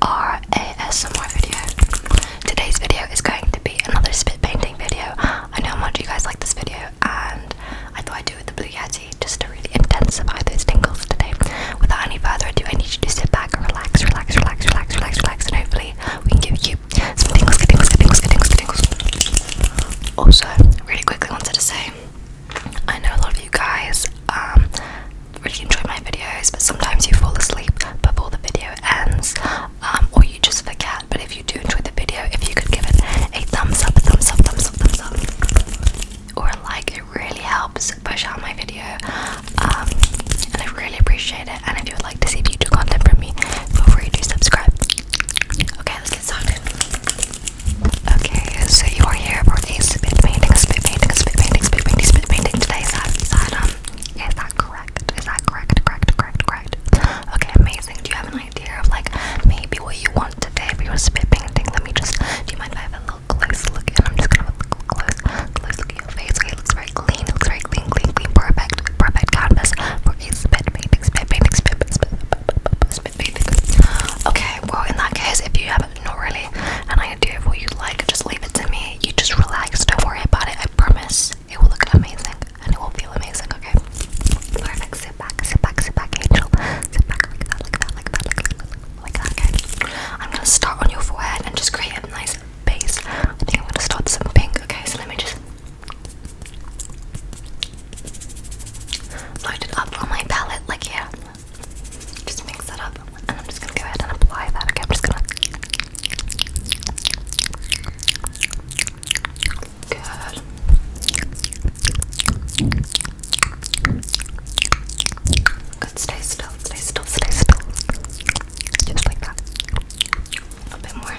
ASMR video. Today's video is going to be another spit painting video. I know how much you guys like this video, and I thought I'd do it with the Blue Yeti just to really intensify those tingles today. Without any further ado, I need you to sit back and relax, relax, relax, relax, relax, relax, and hopefully we can give you some tingles, tingles, tingles, tingles, tingles. Also, really quickly wanted to say, I know a lot of you guys um, really enjoy my videos, but sometimes you fall asleep before the video ends, um, or you just forget. But if you do enjoy the video, if you could give it a thumbs up, thumbs up, thumbs up, thumbs up, or a like, it really helps push out my video, um, and I really appreciate it. And if you would like to see future content from me, feel free to subscribe. Okay, let's get started. Okay, so you are here for spit painting, spit painting, spit painting, spit painting, spit painting. Today, sad, sad, um, is that correct? Is that correct? Correct, correct, correct. Okay, amazing. Do you have an idea of like maybe what you want today for your spit painting? Let me just do you mind if I have a little close look and I'm just gonna have a close close look at your face. Okay, it looks very clean, it looks very clean, clean, clean, perfect, perfect canvas for a spit painting, spit painting, spit spit Okay, well in that case if you have not really an idea of what you like. Just leave it to me. You just relax. Don't worry about it. I promise. It will look amazing and it will feel amazing. Okay. Perfect. Sit back. Sit back. Sit back, Angel. Sit back. Like that. Like that. Like that. Like that. Okay. I'm gonna start on your forehead and just create a nice base. I think I'm gonna start some pink. Okay. So let me just load it up on my palette. Like yeah. Just mix it up, and I'm just gonna go ahead and apply that. Okay, I'm just gonna. Good. Good. Stay still. Stay still. Stay still. Just like that. A bit more.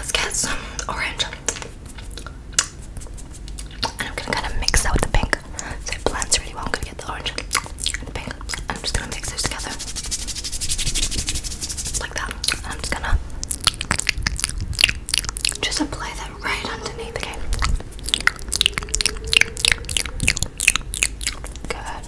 let's get some orange. And I'm gonna kind of mix that with the pink. So it blends really well. I'm gonna get the orange and the pink. And I'm just gonna mix those together. Like that. I'm just gonna just apply that right underneath again. Good.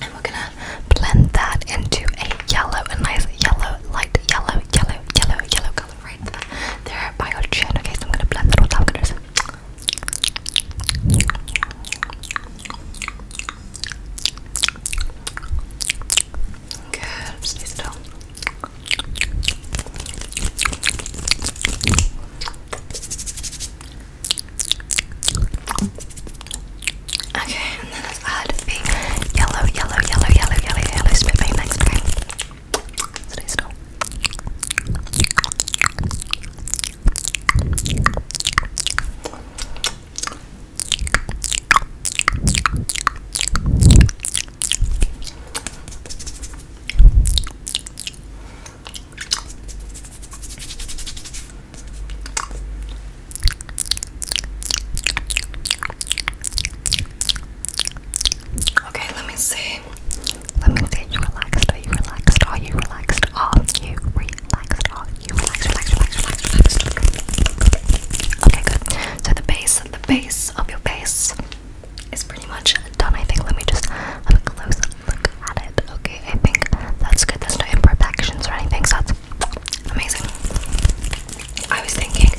and we're gonna blend that into a yellow, a nice yellow, light yellow, yellow, yellow, yellow color right there by your chin. Okay, so Okay, and then let's add the yellow, yellow, yellow, yellow, yellow, yellow spit paint next. Okay, stay still. Okay, let me see. Let me see. You relaxed? Are you relaxed? Are you relaxed? Are you relaxed? Are you relaxed? Relax, relax, relax, relaxed. Okay, good. So the base, the base of your face is pretty much done. I think. Let me just have a close look look it. Okay, I think that's good. There's no imperfections or anything, so that's amazing. I was thinking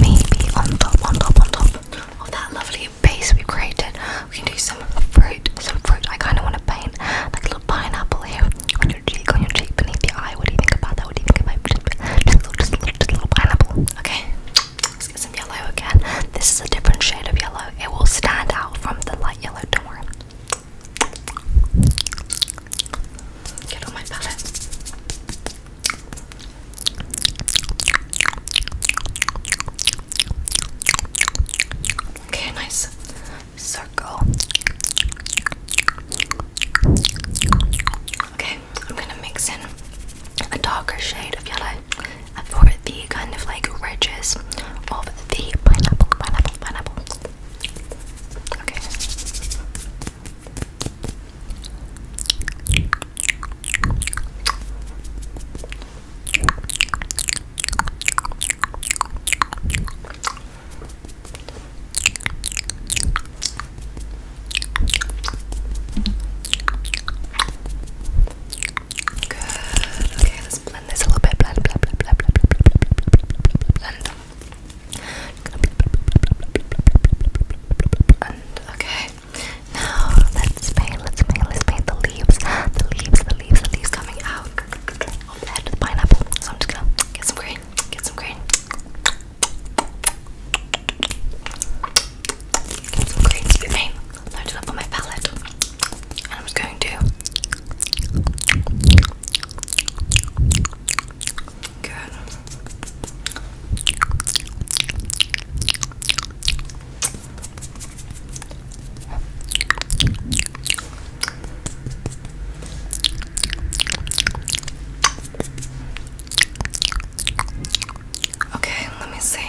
maybe on top, on top, on top of that lovely base we created, we can do some fruit, some fruit. I kind of want to paint like a little pineapple here on your cheek, on your cheek, beneath the eye. What do you think about that? What do you think about just, just, a, little, just, a, little, just a little pineapple? Okay, let's get some yellow again. This is a different shade of yellow. It will stand out from the light yellow, don't worry. Get on my palette. Okay, nice circle. Okay, I'm gonna mix in a darker shade of yellow for the kind of like ridges of the pineapple, pineapple, pineapple. Okay. Okay, let's blend this a little bit. Blah blah blah blah blah blah blah blend, blend, blend. Okay. Now let's paint. Let's paint. Let's paint the leaves. The leaves. The leaves. The leaves coming out of that pineapple. So I'm just gonna get some green. Get some green. Get some green. You paint load it up on my palette. And I'm just going to Okay, let me see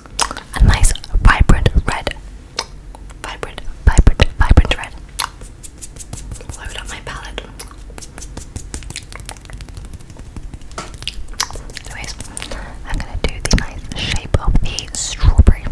a nice vibrant red. Vibrant, vibrant, vibrant red. Load up my palette. Anyways, I'm gonna do the nice shape of the strawberry.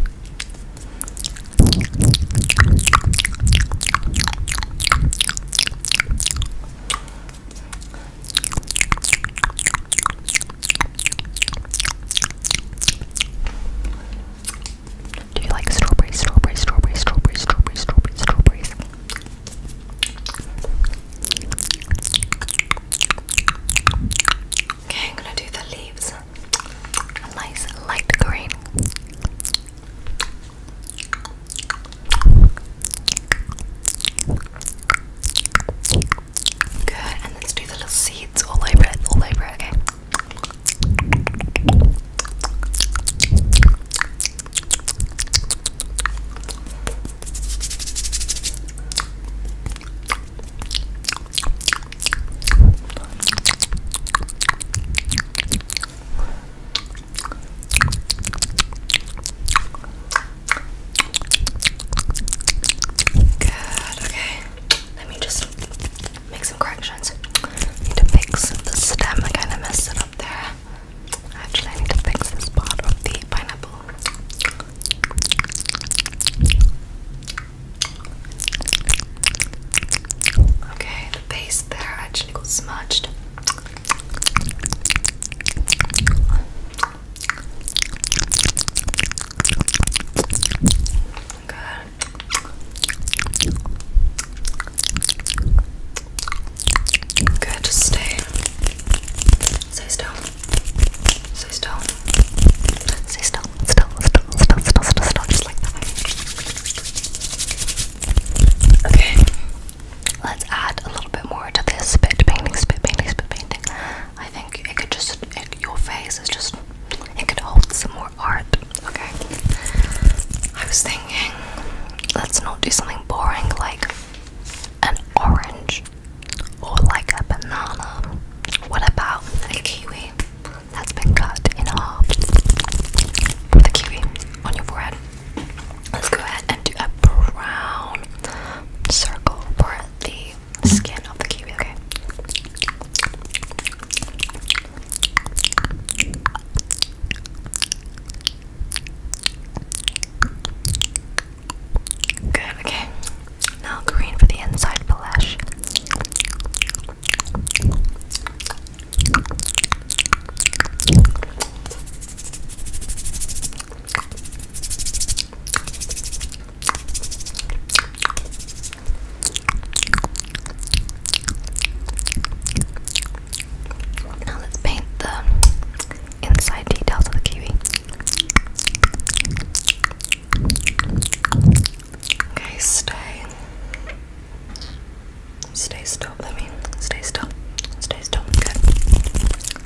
Do you like strawberries, strawberries, strawberries, strawberries, strawberries, strawberries, strawberries? Okay, I'm gonna do the leaves. A nice light green. Good, and let's do the little seeds all over it, all over okay? Good, okay. Let me just make some corrections. I need to fix the stem. I kind of messed it up there. Actually, I need to fix this part of the pineapple. Okay, the base there actually got smudged. Good. Good. Just stay. Stay still. Stay still. Stay still. Still. Still. Still. Still. Still. Still. Just like that. Okay. Let's add a little bit more to this spit painting. Spit painting. Spit painting. I think think it could just it, your face It's just it could hold some more art. Okay. I was thinking let's not do something boring like an orange or like a banana. What about a kiwi that's been cut in half? the kiwi on your forehead. Let's go ahead and do a brown circle for the skin of the kiwi, okay? Good, okay. Now green for the inside flesh. Now let's paint the inside details of the kiwi. Okay, stay. Stay still, I mean, stay still. Stay still. Good.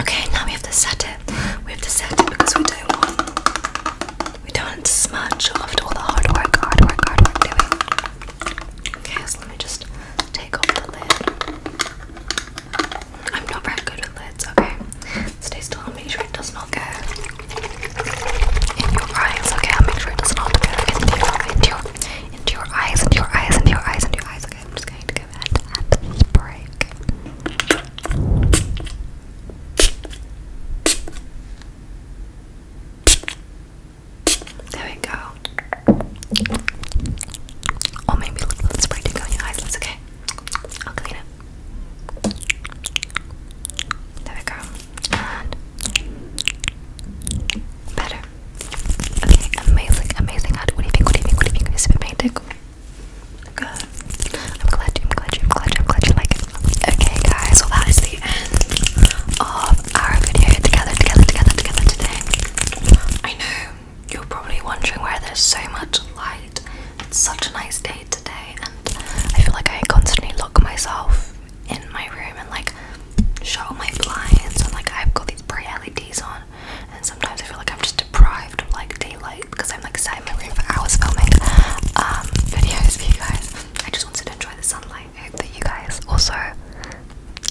Okay, now we have to set it. We have to set it because we don't want we don't want to smudge after all the hard work, hard work, hard work doing. Okay, so let me just take off the lid. I'm not very good with lids, okay? Stay still I'll make sure it does not go in your eyes, okay? I'll make sure it does not go into your into your into your eyes, into your eyes, into your eyes, into your eyes, okay? I'm just going to there we go. Or oh, maybe a little spray to go on your eyes. That's okay. I'll clean it. There we go. better. Okay, amazing, amazing. What do you think? What do you think? What do you think? Is it romantic? Good. I'm glad you, I'm glad you, I'm glad you, I'm glad you like it. Okay, guys, well, that is the end of our video together, together, together, together today. I know you're probably wondering why there's so much light. It's such a nice day today, and I feel like I constantly lock myself in my room and like shut my blinds, and like I've got these bright LEDs on and sometimes I feel like I'm just deprived of like daylight because I'm like sat in my room for hours filming um, videos for you guys. I just wanted to enjoy the sunlight. I hope that you guys also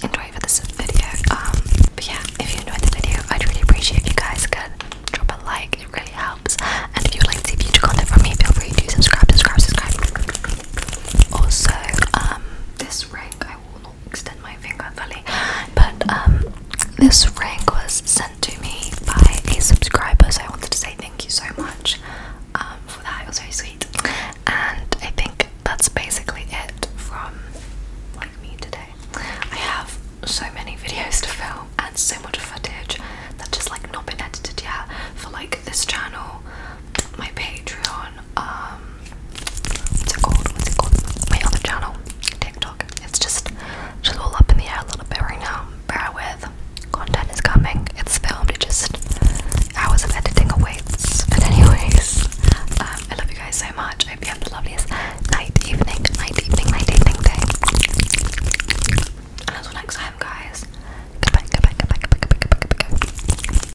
enjoy for this video. Um, but yeah, if you enjoyed the video, I'd really appreciate if you guys could drop a like. It really helps. And if you'd like to see future content from me, feel free to subscribe, subscribe, subscribe. Also, um, this ring I will not extend my finger fully. But um, this ring was sent to me by a subscriber, so I wanted to say thank you so much um, for that. It was very sweet, and I think that's basically it from like me today. I have so many videos to film and so much footage that just like not been edited yet for like this channel my Patreon, um, what's it called? What's it called? My other channel, TikTok. It's just just all up in the air a little bit right now. Bear with. Content is coming. It's filmed. It just hours of editing awaits. But anyways, um, I love you guys so much. hope you have the loveliest night, evening, night, evening, night, evening day. And until next time, guys. Goodbye. Goodbye. Goodbye. Goodbye. Goodbye. Goodbye. goodbye.